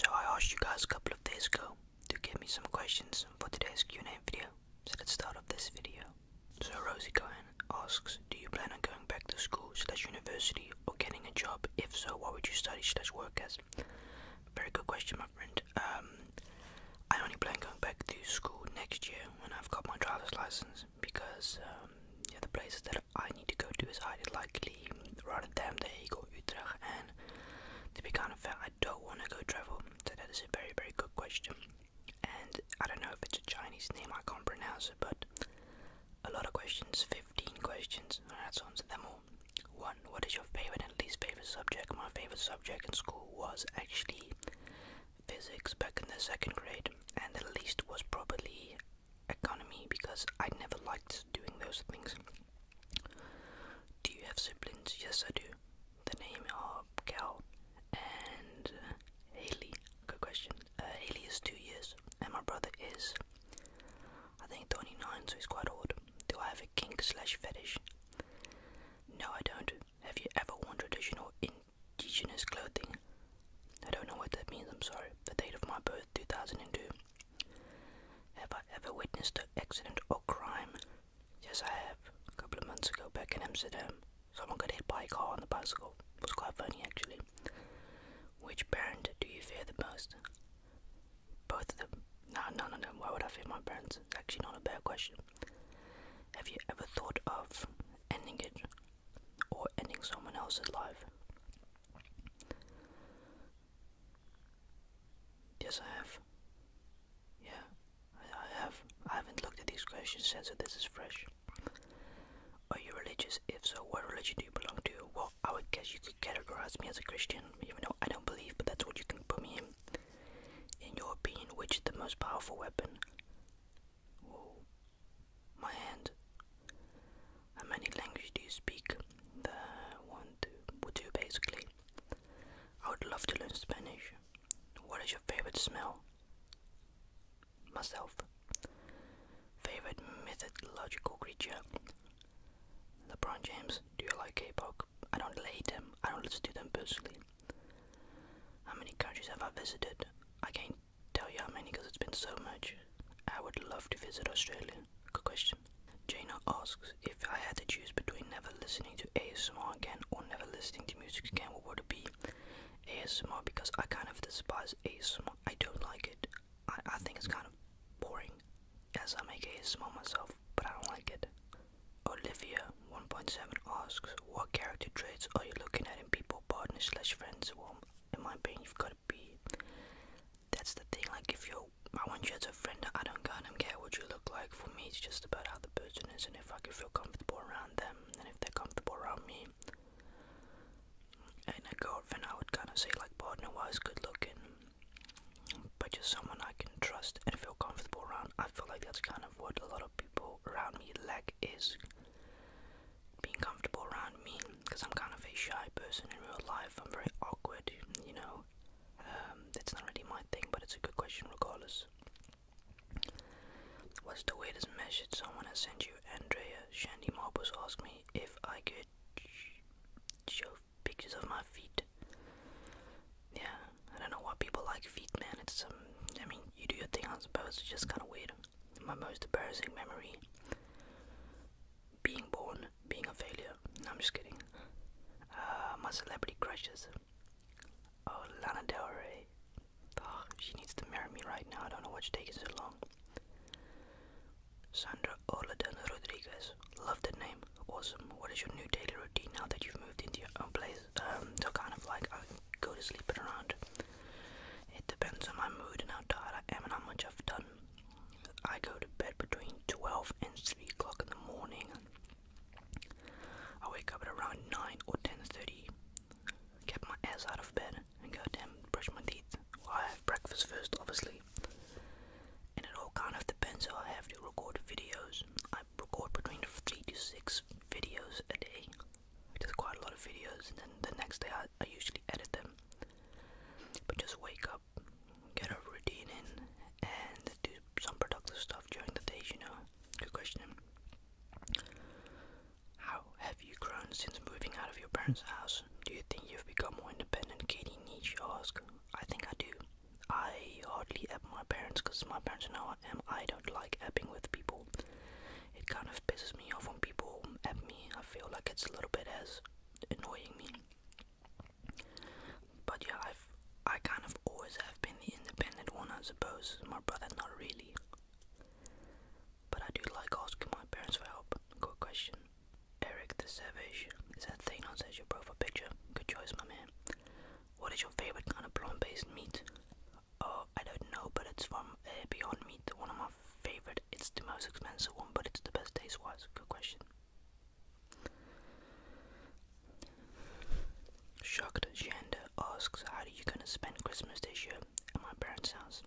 So I asked you guys a couple of days ago to give me some questions for today's Q&A video. So let's start off this video. So Rosie Cohen asks, do you plan on going back to school slash university or getting a job? If so, what would you study slash work as? Very good question, my friend. Um, I only plan going back to school next year when I've got my driver's license because um, the places that I to go to is highly likely rather the Eagle Utrecht and to kind of fair I don't want to go travel that is a very very good question and I don't know if it's a Chinese name I can't pronounce it but a lot of questions 15 questions I and to answer them all one what is your favorite and least favorite subject my favorite subject in school was actually physics back in the second grade and the least was probably economy because I never liked doing those things. Do you have siblings? Yes, I do. The name are Cal and uh, Haley. Good question. Uh, Haley is two years, and my brother is, I think, 29, so it's quite old. Do I have a kink slash fetish? No, I don't. Have you ever worn traditional indigenous clothing? I don't know what that means, I'm sorry. The date of my birth, 2002. Have I ever witnessed an accident or crime? Yes, I have. A couple of months ago, back in Amsterdam, someone got hit by a car on the bicycle. It was quite funny, actually. Which parent do you fear the most? Both of them. No, no, no, no. Why would I fear my parents? It's Actually, not a bad question. Have you ever thought of ending it? or ending someone else's life. Yes, I have. Yeah, I, have. I haven't looked at these questions since so this is fresh. Are you religious? If so, what religion do you belong to? Well, I would guess you could categorize me as a Christian, even though I don't believe, but that's what you can put me in. In your opinion, which is the most powerful weapon? Whoa. My hand. How many languages do you speak? The one, two, two basically. I would love to learn Spanish. What is your favorite smell? Myself. Favorite mythological creature? LeBron James. Do you like K-pop? I don't hate them. I don't listen to them personally. How many countries have I visited? I can't tell you how many because it's been so much. I would love to visit Australia. Good question. Jana asks if I had to choose between never listening to ASMR again or never listening to music again, what would it be? ASMR because I kind of despise ASMR. I don't like it. I, I think it's kind of boring as I make ASMR myself, but I don't like it. Olivia 1.7 asks, what character traits are you looking at in people, partners slash friends? Well, in my opinion, you've got to be. That's the thing. Like, if you're, I want you as a friend. I don't kind of care what you look like. For me, it's just about how the person is, and if I can feel comfortable around them, and if they're comfortable around me. And a girlfriend, I would kind of say like partner was good looking, but just someone I can trust and feel comfortable around. I feel like that's kind of what a lot of people around me lack is being comfortable around me because I'm kind of a shy person in real life. I'm very awkward, you know. Um, that's not really my thing, but it's a good question regardless. What's the weirdest message someone has sent you? Andrea Shandy Marbles asked me if I could show pictures of my feet. Yeah, I don't know why people like feet, man. It's um, I mean, you do your thing, I suppose. It's just kind of weird. My most embarrassing memory being born, being a failure. I'm just kidding. Uh, my celebrity crushes. Oh, Lana Del Rey. Oh, she needs to marry me right now. I don't know she's taking so long. Sandra Oladan Rodriguez. Love that name. Awesome. What is your new daily routine now that you've moved into your own place? Um, so kind of like, go to sleep and around. It depends on my mood and how tired I am and how much I've done. I go to bed between 12 and 3 o'clock in the morning. I wake up at around 9 or 10.30, get my ass out of bed and go down and brush my teeth. I have breakfast first, obviously. And it all kind of depends So I have to record videos. I record between 3 to 6 videos a day. There's quite a lot of videos, and then the next day I, I usually edit them. But just wake up, get a routine in, and do some productive stuff during the day, you know. Good question. How have you grown since moving out of your parents' house? Do you think you've become more independent? Katie Nietzsche Ask. I think I do. I hardly at my parents because my parents are now I I don't like epping with people. It kind of pisses me off when people app me. I feel like it's a little bit as annoying me. But yeah, I've I kind of always have been the independent one, I suppose. My brother, not really. But I do like asking my parents for help. Good question. Eric the Savage. Is that Thanos as your profile picture? Good choice, my man. What is your favorite kind of plant based meat? Oh, I don't know, but it's from uh, Beyond Meat, one of my favorite. It's the most expensive one, but it's the best taste wise. Good question. Shocked Shanda asks, How are you gonna spend Christmas this year at my parents' house?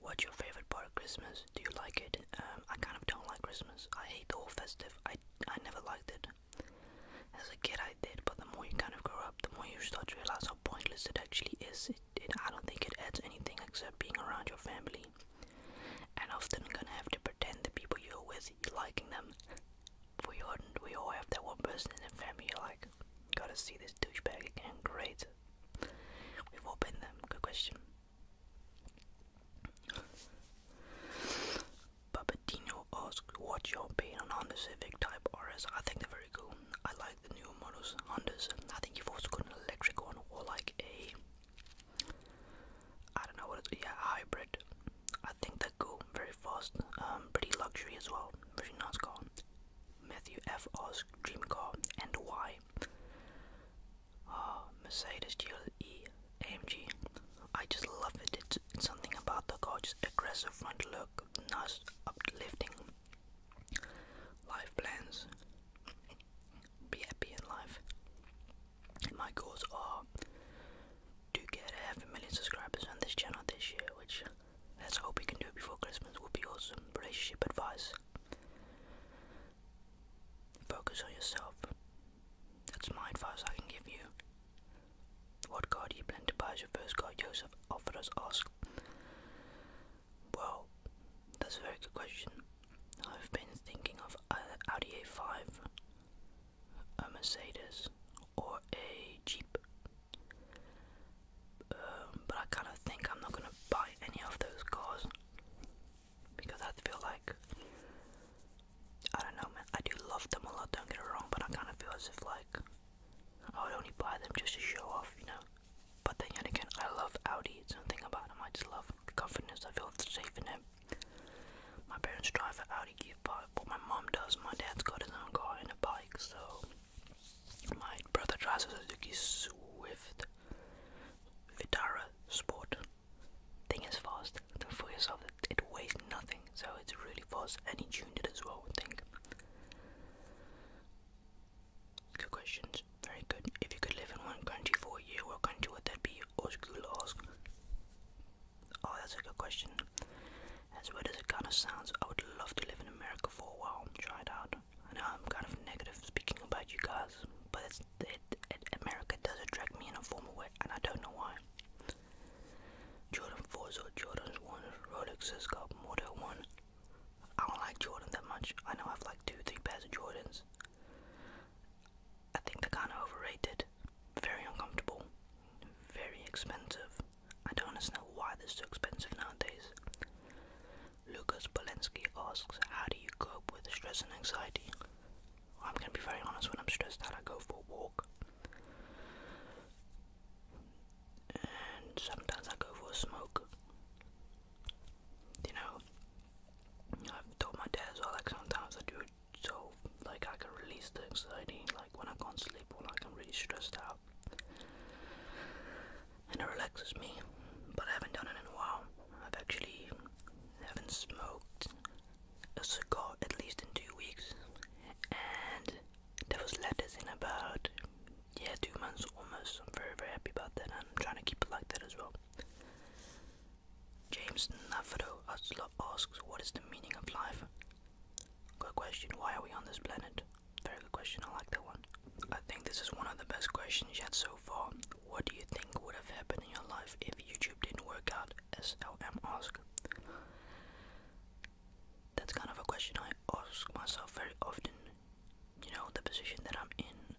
What's your favorite part of Christmas? Do you like it? Um, I kind of don't like Christmas. I hate the whole festive. I I never liked it. As a kid, I did, but the more you kind of grow up, the more you start to realize how pointless it actually is. It, I don't think it adds anything except being around your family, and often gonna have to pretend the people you're with, liking them. We all, we all have that one person in the family you like, gotta see this douchebag again. Great. We've opened them. Good question. Babatino asked, what's your opinion on Honda Civic Type RS? I think they're very cool. I like the new models, Hondas. I think you've also got an electric one or like a, I don't know what it's, yeah, hybrid. I think they're cool, very fast, um, pretty luxury as well, very nice car. Matthew F. asked, dream car and why? Uh, Mercedes GLE AMG. I just love it. It's, something about the gorgeous, aggressive front look, nice, uplifting life plans. Be happy in life. my goals are to get a half a million subscribers on this channel this year, which let's hope we can do before Christmas. Would be awesome. Relationship advice. Focus on yourself. That's my advice I can give you. What car do you plan to buy as your first car? Joseph offered us ask. Well, that's a very good question. I've been thinking of either Audi A5, a Mercedes, or a Jeep. Um, but I kind of think I'm not going to buy any of those cars because I feel like I don't know, man. I do love them a lot, don't get it wrong, but I kind of feel as if, like, I would only buy them just to show off, you know? But then again, I love Audi. It's something about them. I just love the confidence. I feel safe in them. My parents drive an Audi Give bike, my mom does. My dad's got his own car and a bike, so. My brother drives a Suzuki Swift Vitara Sport. Thing is fast for yourself that it weighs nothing, so it's really fast and he as well, I think. Good questions. Very good. If you could live in one country for a year, what country would that be? Osgula ask. Oh, that's a good question. As weird as it kind of sounds, I would love to live in America for a while try it out. I know I'm kind of negative speaking about you guys, but it, America does attract me in a formal way, and I don't know why. Jordan 4s or Jordan's 1, Rolexes got than 1. I don't like Jordan that much. I know I have like 2 3 pairs of Jordans. I think they're kind of overrated. Very uncomfortable. Very expensive. I don't understand why they're so expensive nowadays. Lucas Polensky asks, How do you cope with stress and anxiety? I'm gonna be very honest, when I'm stressed out, I go for a walk. And sometimes I go for a smoke. You know, I've told my dad as like sometimes I do so like I can release the anxiety, like when I can't sleep or like I'm really stressed out. And it relaxes me, but I haven't done it in a while. i actually haven't smoked a cigar at least in two weeks, and there was letters in about yeah two months almost. I'm very very happy about that. I'm trying to keep it like that as well. James Navarro Asla asks, "What is the meaning of life?" Good question. Why are we on this planet? Very good question. I like that one. I think this is one of the best questions yet so far. What do you think would have happened in your life if YouTube didn't work out? SLM ask. That's kind of a question I ask myself very often. You know, the position that I'm in,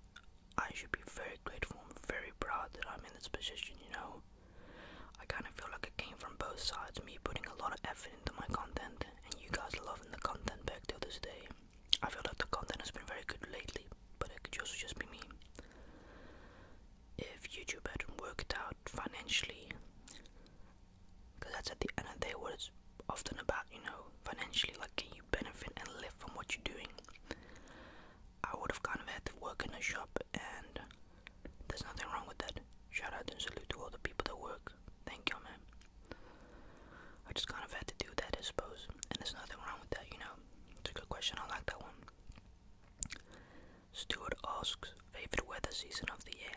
I should be very grateful and very proud that I'm in this position, you know. I kind of feel like it came from both sides, me putting a lot of effort into my content, and you guys loving the content back to this day. I feel like the content has been very good lately but it could also just be me. If YouTube hadn't worked out financially, because that's at the end of the day what it's often about, you know, financially, like can you benefit and live from what you're doing? I would have kind of had to work in a shop, and there's nothing wrong with that. Shout out and salute to all the people that work. Thank you, man. I just kind of had to do that, I suppose, and there's nothing wrong with that, you know. It's a good question. I like that one. Stuart asks, favorite weather season of the year?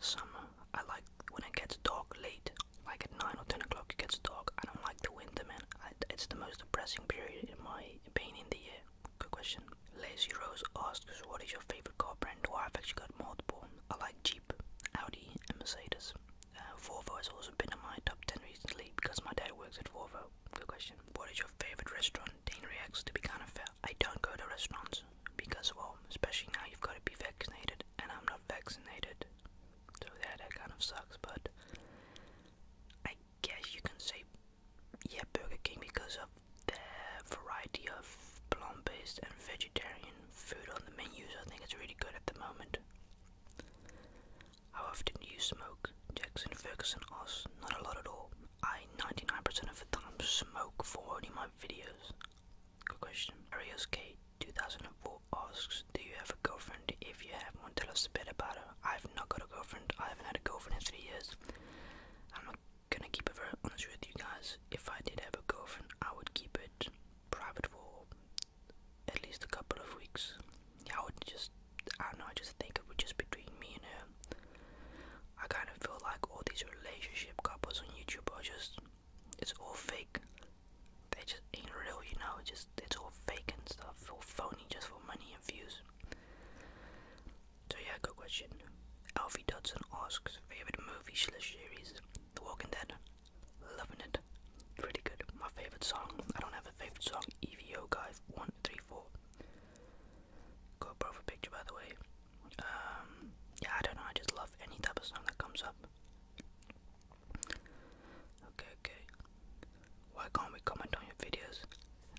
Summer. I like when it gets dark late, like at 9 or 10 o'clock it gets dark. I don't like the winter, man. it's the most depressing period in my opinion in the year. Good question. Lazy Rose asks, what is your favorite car brand? Why I've actually got multiple. I like Jeep, Audi, and Mercedes. Uh, Volvo has also been on my top 10 recently because my dad works at Volvo. Good question. What is your favorite restaurant? Dane reacts to be kind of fair. I don't go to restaurants because, well, especially now you've got to be vaccinated and I'm not vaccinated. So yeah, that kind of sucks, but I guess you can say, yeah, Burger King because of the variety of plant based and vegetarian food on the menus. I think it's really good at the moment. How often do you smoke? Jackson Ferguson asked. Not a lot at all. I 99% of the time smoke for only my videos. Good question. Arius K 2004 asks, Do you have a girlfriend? If you have one, tell us a bit about her. I've not got a girlfriend. I haven't had a girlfriend in three years. I'm not gonna keep it very honest with you guys. If I did have a girlfriend, I would keep it private for at least a couple of weeks. I would just, I don't know, I just think it would just between me and her. I kind of feel like all these relationship couples on YouTube are just, it's all fake. They just ain't real, you know, just, it's all fake and stuff, all phony just for money and views. So yeah, good question. Alfie Dodson asks, favorite movie slash series? The Walking Dead. Loving it. Pretty good. My favorite song. I don't have a favorite song. EVO guys. One, three, four. GoPro for picture, by the way. Um, yeah, I don't know. I just love any type of song that comes up. Okay, okay. Why can't we comment on your videos?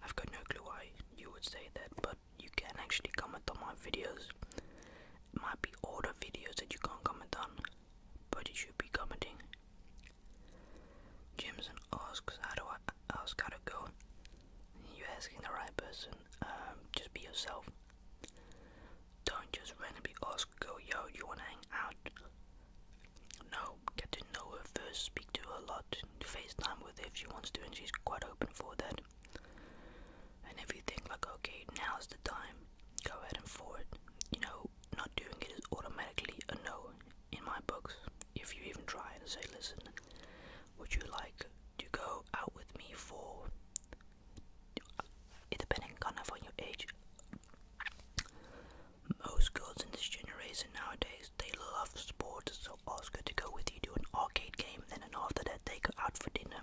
I've got no clue why you would say that, but you can actually comment on my videos. might be older videos that you can't comment on but you should be commenting. Jimson asks, how do I ask how to go? You're asking the right person. Um, just be yourself. Don't just randomly ask, go, yo, you wanna hang out? No, get to know her first, speak to her a lot, FaceTime with if she wants to, and she's quite open for that. And if you think like, okay, now's the time, go ahead and forward. You know, not doing it is automatically a no in my books. If you even try and say, listen, would you like to go out with me for, it depending kind of on your age, most girls in this generation nowadays, they love sports, so ask her to go with you to an arcade game, and then after that they go out for dinner.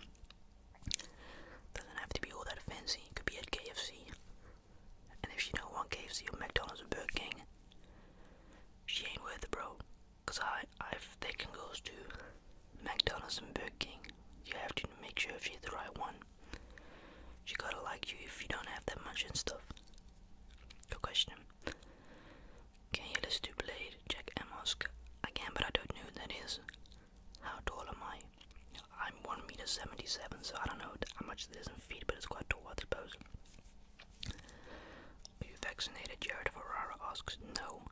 Doesn't have to be all that fancy. It could be at KFC. And if she don't want KFC or McDonald's or Burger King, she ain't worth it, bro. Cause I, I've taken girls to McDonald's and Burger King. You have to make sure if she's the right one. She gotta like you if you don't have that much and stuff. No question. Can you list two Blade? Jack Amos. I can, but I don't know who that is. How tall am I? I'm 1 meter 77, so I don't know how much that is in feet, but it's quite tall, I suppose. Are you vaccinated? Jared Ferrara asks. No,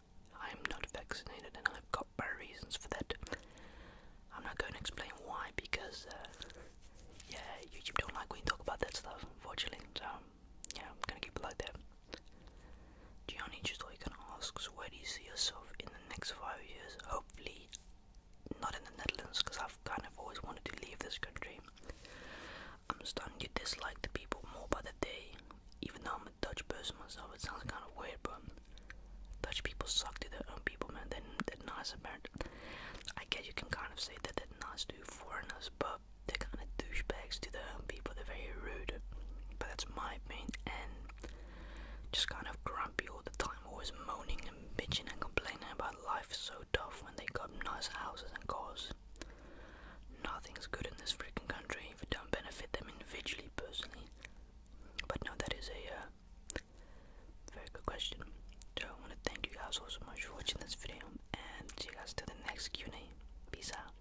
I am not vaccinated, and I've got my reasons for that. I'm not going to explain why, because, uh, yeah, YouTube don't like when you talk about that stuff, unfortunately, so, yeah, I'm gonna keep it like that just Gianni Chitoikan asks, where do you see yourself in the next five years? Hopefully, not in the Netherlands, because I've kind of always wanted to leave this country. I'm starting to dislike the people more by the day, even though I'm a Dutch person myself. It sounds kind of weird, but Dutch people suck to their own people, man. They're, they're nice about it. I guess you can kind of say that they're nice to foreigners, but they're kind of douchebags to their own people. They're very rude, but that's my main end. Just kind of grumpy all the time, always moaning and bitching and complaining about life so tough when they got nice houses and cars. Nothing's good in this freaking country if it don't benefit them individually, personally. But no, that is a uh, very good question. So I want to thank you guys all so much for watching this video, and see you guys to the next Q&A. Peace out.